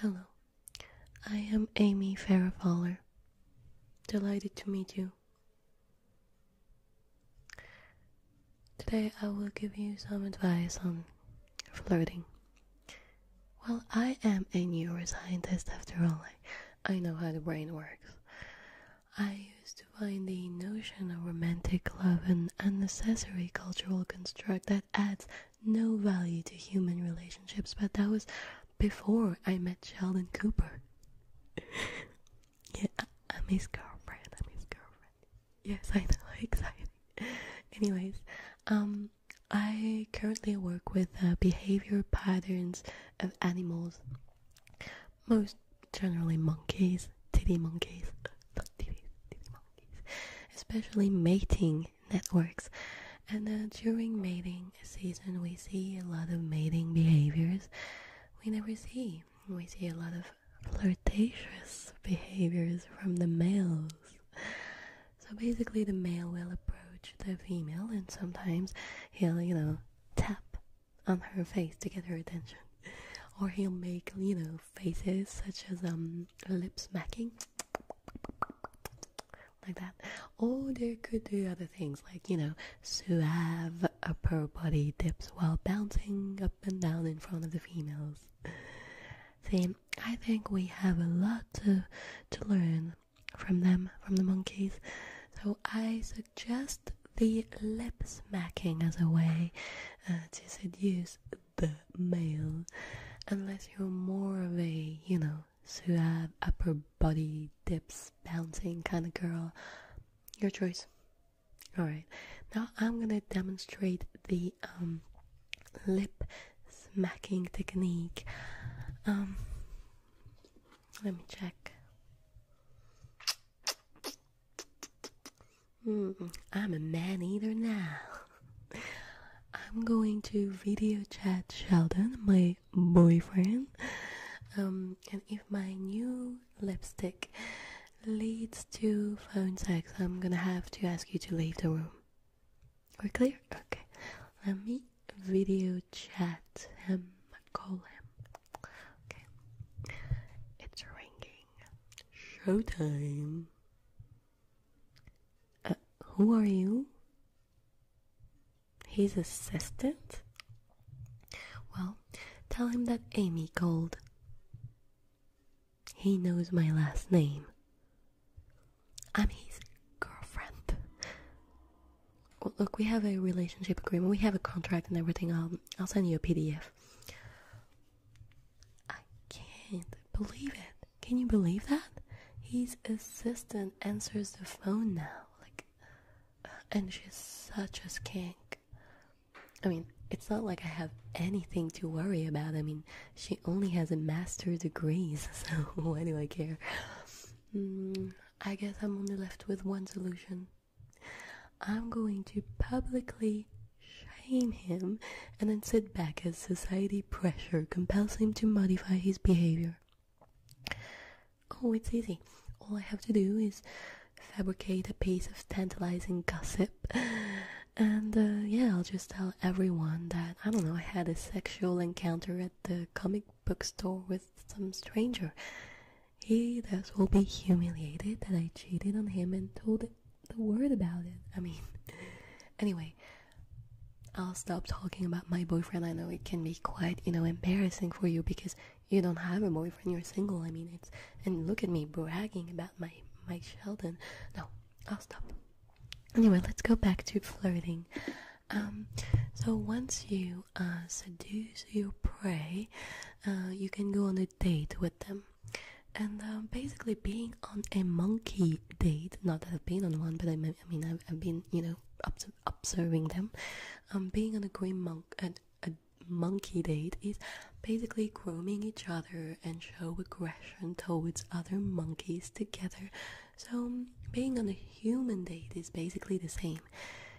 Hello, I am Amy Farrah Delighted to meet you. Today I will give you some advice on flirting. Well, I am a neuroscientist after all. I know how the brain works. I used to find the notion of romantic love an unnecessary cultural construct that adds no value to human relationships, but that was before I met Sheldon Cooper. yeah, I, am his girlfriend. I'm his girlfriend. Yes, I know. Exciting. Anyways, um, I currently work with uh, behavior patterns of animals most generally monkeys, titty monkeys, not titty monkeys, especially mating networks. And uh, during mating season, we see a lot of mating behaviors we never see. We see a lot of flirtatious behaviors from the males. So basically, the male will approach the female, and sometimes he'll, you know, tap on her face to get her attention. Or he'll make, you know, faces such as um lip smacking like that. Or they could do other things like, you know, suave upper body dips while bouncing up and down in front of the females. See, I think we have a lot to to learn from them, from the monkeys. So I suggest the lip smacking as a way uh, to seduce the male, unless you're more of a, you know, suave, upper body, dips, bouncing kind of girl. Your choice. Alright, now I'm gonna demonstrate the um, lip smacking technique. Um, let me check. I'm a man eater now. I'm going to video chat Sheldon, my boyfriend. Um, and if my new lipstick leads to phone sex, I'm gonna have to ask you to leave the room. We're clear? Okay. Let me video chat him call him okay it's ringing showtime uh, who are you his assistant well tell him that amy called he knows my last name I'm his girlfriend. look, we have a relationship agreement. We have a contract and everything. I'll I'll send you a PDF. I can't believe it. Can you believe that? His assistant answers the phone now. Like, and she's such a skank. I mean, it's not like I have anything to worry about. I mean, she only has a master's degree, so why do I care? Mm, I guess I'm only left with one solution. I'm going to publicly shame him and then sit back as society pressure compels him to modify his behavior. Oh, it's easy. All I have to do is fabricate a piece of tantalizing gossip. And uh, yeah, I'll just tell everyone that I don't know, I had a sexual encounter the comic book store with some stranger. He thus will be humiliated that I cheated on him and told the word about it. I mean, anyway, I'll stop talking about my boyfriend. I know it can be quite, you know, embarrassing for you because you don't have a boyfriend, you're single. I mean, it's and look at me bragging about my my Sheldon. No, I'll stop anyway, let's go back to flirting. Um, so once you uh, seduce your prey, uh, you can go on a date with them. And uh, basically, being on a monkey date, not that I've been on one, but I, mean, I've, been, you know, observing them. Um, being on a green monk, and a monkey date is basically grooming each other and show aggression towards other monkeys together so being on a human date is basically the same.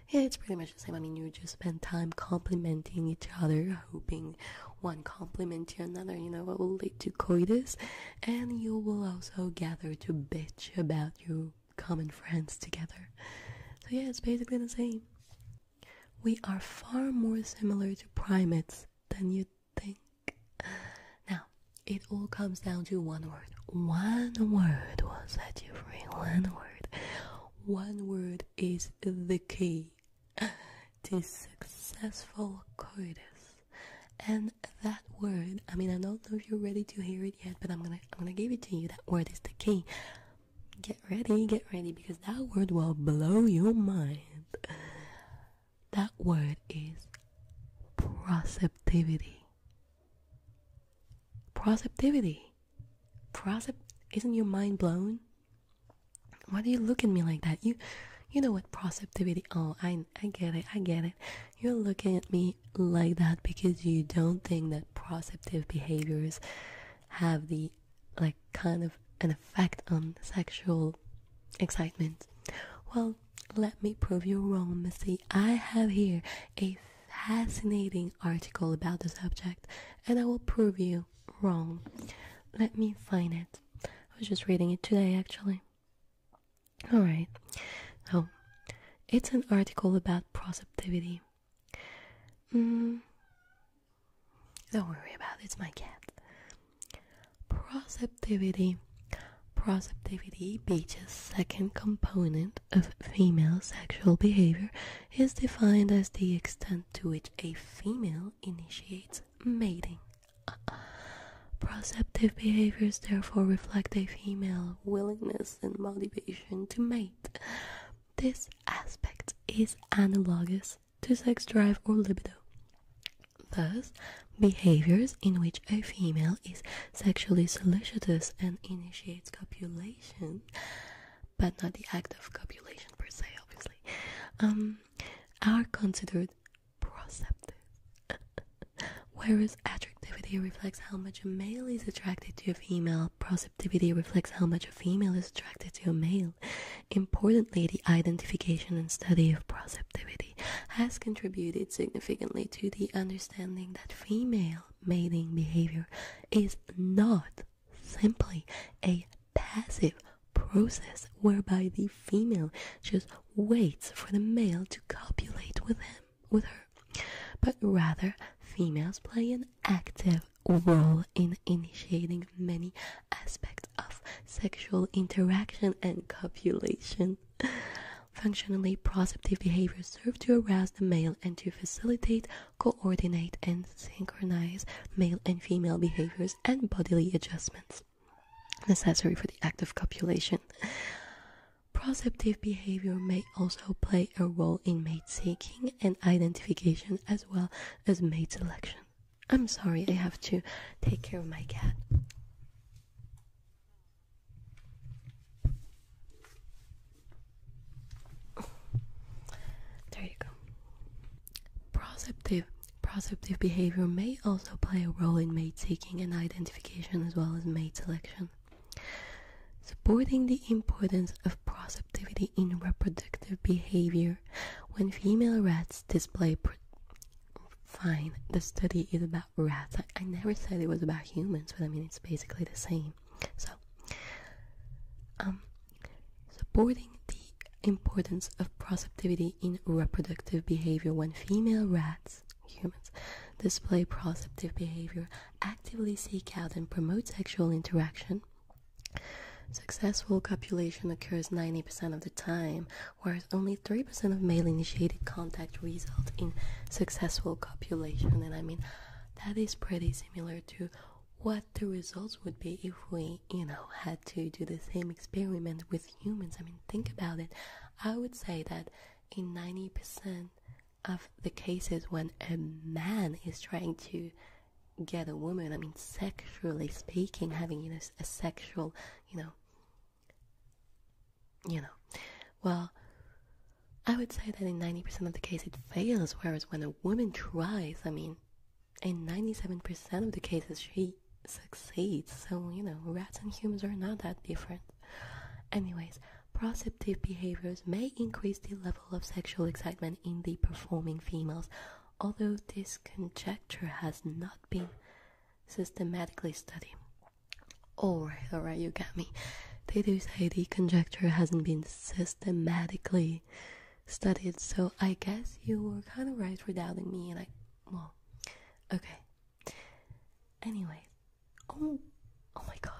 it's pretty much the same. I mean, you just spend time complimenting each other, hoping one compliment to another, you know, what will lead to coitus, and you will also gather to bitch about your common friends together. So, yeah, it's basically the same. We are far more similar to primates than you'd think. Now, it all comes down to one word. One word was that you free. One word. One word is the key to successful coitus. And that word, I mean I don't know if you're ready to hear it yet, but I'm gonna I'm gonna give it to you. That word is the key. Get ready, get ready because that word will blow your mind that word is proceptivity. Proceptivity. Procept isn't your mind blown? Why do you look at me like that? You you know what proceptivity oh I I get it, I get it. You're looking at me like that because you don't think that proceptive behaviors have the like kind of an effect on sexual excitement? Well, let me prove you wrong, Missy. I have here a fascinating article about the subject, and I will prove you wrong. Let me find it. I was just reading it today, actually. Alright, Oh, it's an article about proceptivity. Mm, don't worry about it, it's my cat. Proceptivity. Proceptivity, Beach's second component of female sexual behavior, is defined as the extent to which a female initiates mating. Uh-uh. Proceptive behaviors therefore reflect a female willingness and motivation to mate. This aspect is analogous to sex drive or libido. Thus, behaviors in which a female is sexually solicitous and initiates copulation, but not the act of copulation per se, obviously, um, are considered proceptive. Whereas attractivity reflects how much a male is attracted to a female, proceptivity reflects how much a female is attracted to a male. Importantly, the identification and study of proceptivity has contributed significantly to the understanding that female mating behavior is not simply a passive process whereby the female just waits for the male to copulate with him with her but rather females play an active role in initiating many aspects of sexual interaction and copulation. Functionally, proceptive behavior serves to arouse the male and to facilitate, coordinate, and synchronize male and female behaviors and bodily adjustments necessary for the act of copulation. Proceptive behavior may also play a role in mate seeking and identification as well as mate selection. I'm sorry, I have to take care of my cat. Oh, there you go. Proceptive. Proceptive behavior may also play a role in mate seeking and identification as well as mate selection. Supporting the importance of proceptive in reproductive behavior. When female rats display Fine, the study is about rats. I, never said it was about humans, but I mean it's basically the same. So, um, supporting the importance of proceptivity in reproductive behavior when female rats, humans, display proceptive behavior, actively seek out and promote sexual interaction, Successful copulation occurs 90% of the time, whereas only 3% of male initiated contact result in successful copulation. And I mean, that is pretty similar to what the results would be if we, you know, had to do the same experiment with humans. I mean, think about it. I would say that in 90% of the cases when a man is trying to get a woman, I mean, sexually speaking, having you know, a sexual, you know, you know, well, I would say that in 90% of the case it fails, whereas when a woman tries, I mean, in 97% of the cases she succeeds. So, you know, rats and humans are not that different. Anyways, proceptive behaviors may increase the level of sexual excitement in the performing females, although this conjecture has not been systematically studied. Alright, alright, you got me. They do say the conjecture hasn't been systematically studied, so I guess you were kind of right for doubting me, and I, well, okay. Anyway, oh, Oh my god,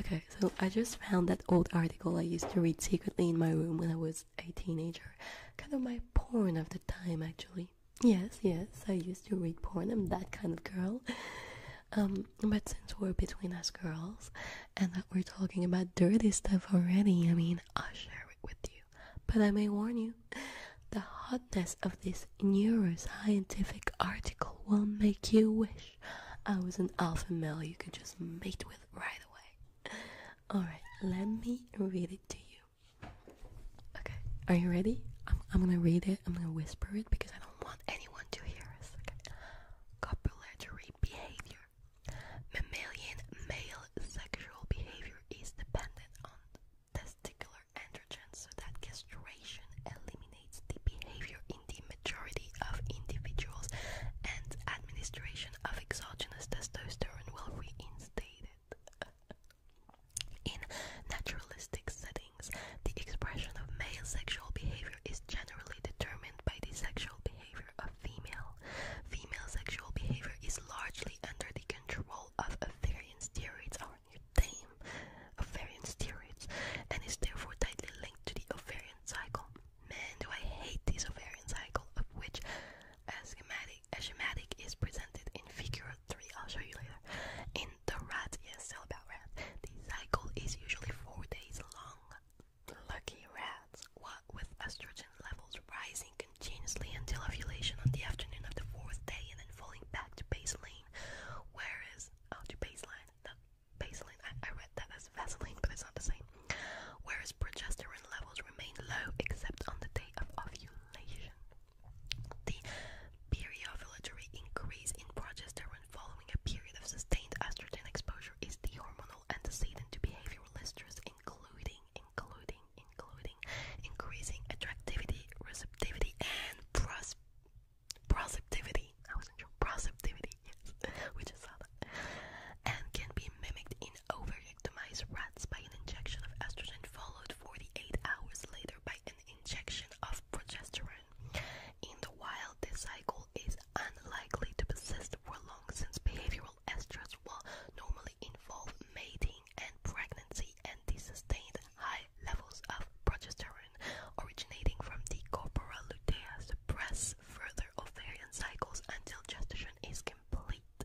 Okay, so I just found that old article I used to read secretly in my room when I was a teenager. Kind of my porn of the time, actually. Yes, yes, I used to read porn. I'm that kind of girl. Um, but since we're between us girls and that we're talking about dirty stuff already, I mean, I'll share it with you. But I may warn you, the hotness of this neuroscientific article will make you wish I was an alpha male you could just mate with right away. Alright, let me read it to you. Okay, are you ready? I'm, I'm gonna read it, I'm gonna whisper it because I don't want anyone to hear us. Okay. Copulatory behavior. Mammalian male sexual behavior is dependent on testicular androgens so that castration eliminates the behavior in the majority of individuals, and administration of exogenous testosterone will reinstate it. In naturalistic settings, the expression of male sexual behavior is generally determined by the sexual behavior of female. Female sexual behavior is largely under the control of ovarian steroids or ovarian steroids and is therefore tightly linked to the ovarian cycle. Man, do I hate this ovarian cycle, of which schematic, is presented in figure 3. I'll show you later. In the rat, yes, still about rat, the cycle is usually 4 days long. Lucky rats, what with estrogen levels rising continuously until ovulation on the afternoon of the fourth day and then falling back to baseline, whereas, oh, to baseline, not Baseline. I, I read that as Vaseline, but it's not the same. Whereas progesterone levels remain low except on the day of ovulation. The periovulatory increase in progesterone following a period of sustained estrogen exposure is the hormonal antecedent to behavioral stress, including, including, including increasing attractivity, receptivity, and pros Proceptivity. I wasn't sure. Proceptivity. Yes. we just saw that. And can be mimicked in over-victimized rats by an injection of estrogen followed 48 hours later by an injection of progesterone. In the wild, this cycle is unlikely to persist for long since behavioral estrus will normally involve mating and pregnancy and the sustained high levels of progesterone originating from the corpora lutea suppress further ovarian cycles until gestation is complete.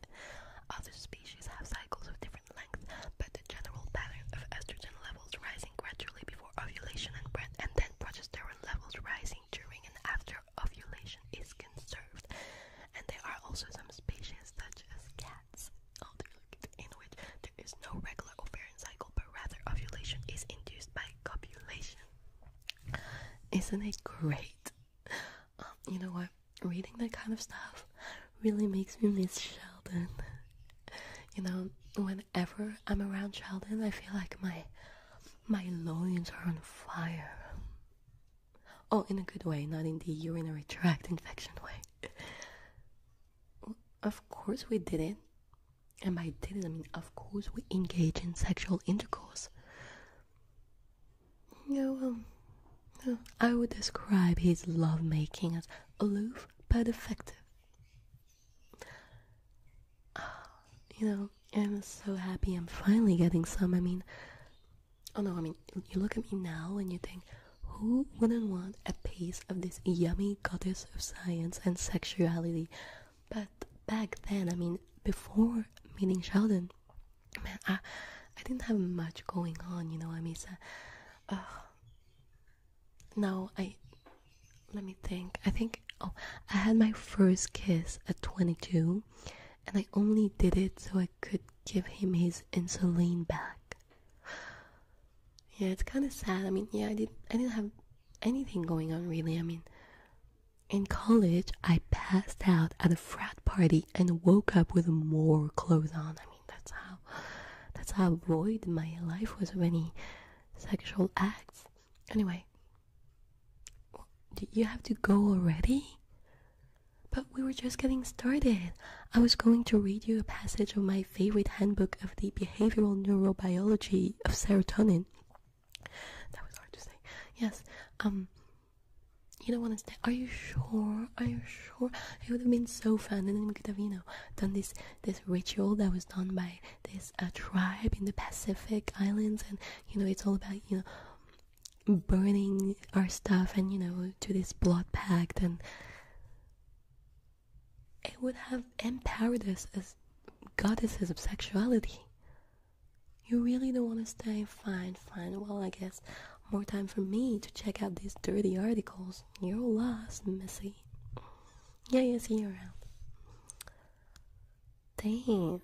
Other species have cycles of different lengths, but the general pattern of estrogen levels rising gradually before ovulation and, then progesterone levels rising during and after ovulation is conserved. And there are also some species such as cats, oh, in which there is no regular ovarian cycle, but rather ovulation is induced by copulation. Isn't it great? Um, you know what? Reading that kind of stuff really makes me miss Sheldon. You know, whenever I'm around Sheldon, I feel like my my loins are on fire. Oh, in a good way, not in the urinary tract infection way. Of course we didn't. And by didn't, I mean, of course we engage in sexual intercourse. Yeah, well, I would describe his lovemaking as aloof but effective. Ah, you know, I'm so happy I'm finally getting some. I mean, oh no, I mean, you look at me now and you think, who wouldn't want a piece of this yummy goddess of science and sexuality? But back then, I mean, before meeting Sheldon, man, I, I didn't have much going on, you know. I mean, uh, now I let me think. I think oh, I had my first kiss at 22, and I only did it so I could give him his insulin back. Yeah, it's kind of sad. I mean, yeah, I did. I didn't have anything going on really. I mean, in college, I passed out at a frat party and woke up with more clothes on. I mean, that's how. That's how void my life was of any sexual acts. Anyway, do you have to go already? But we were just getting started. I was going to read you a passage of my favorite handbook of the behavioral neurobiology of serotonin. That was hard to say. Yes. Um. You don't want to stay. Are you sure? Are you sure? It would have been so fun, and then we could have, you know, done this this ritual that was done by this uh, tribe in the Pacific Islands, and you know, it's all about you know burning our stuff and you know to this blood pact and it would have empowered us as goddesses of sexuality you really don't want to stay fine fine well i guess more time for me to check out these dirty articles you're lost missy yeah yeah see you around damn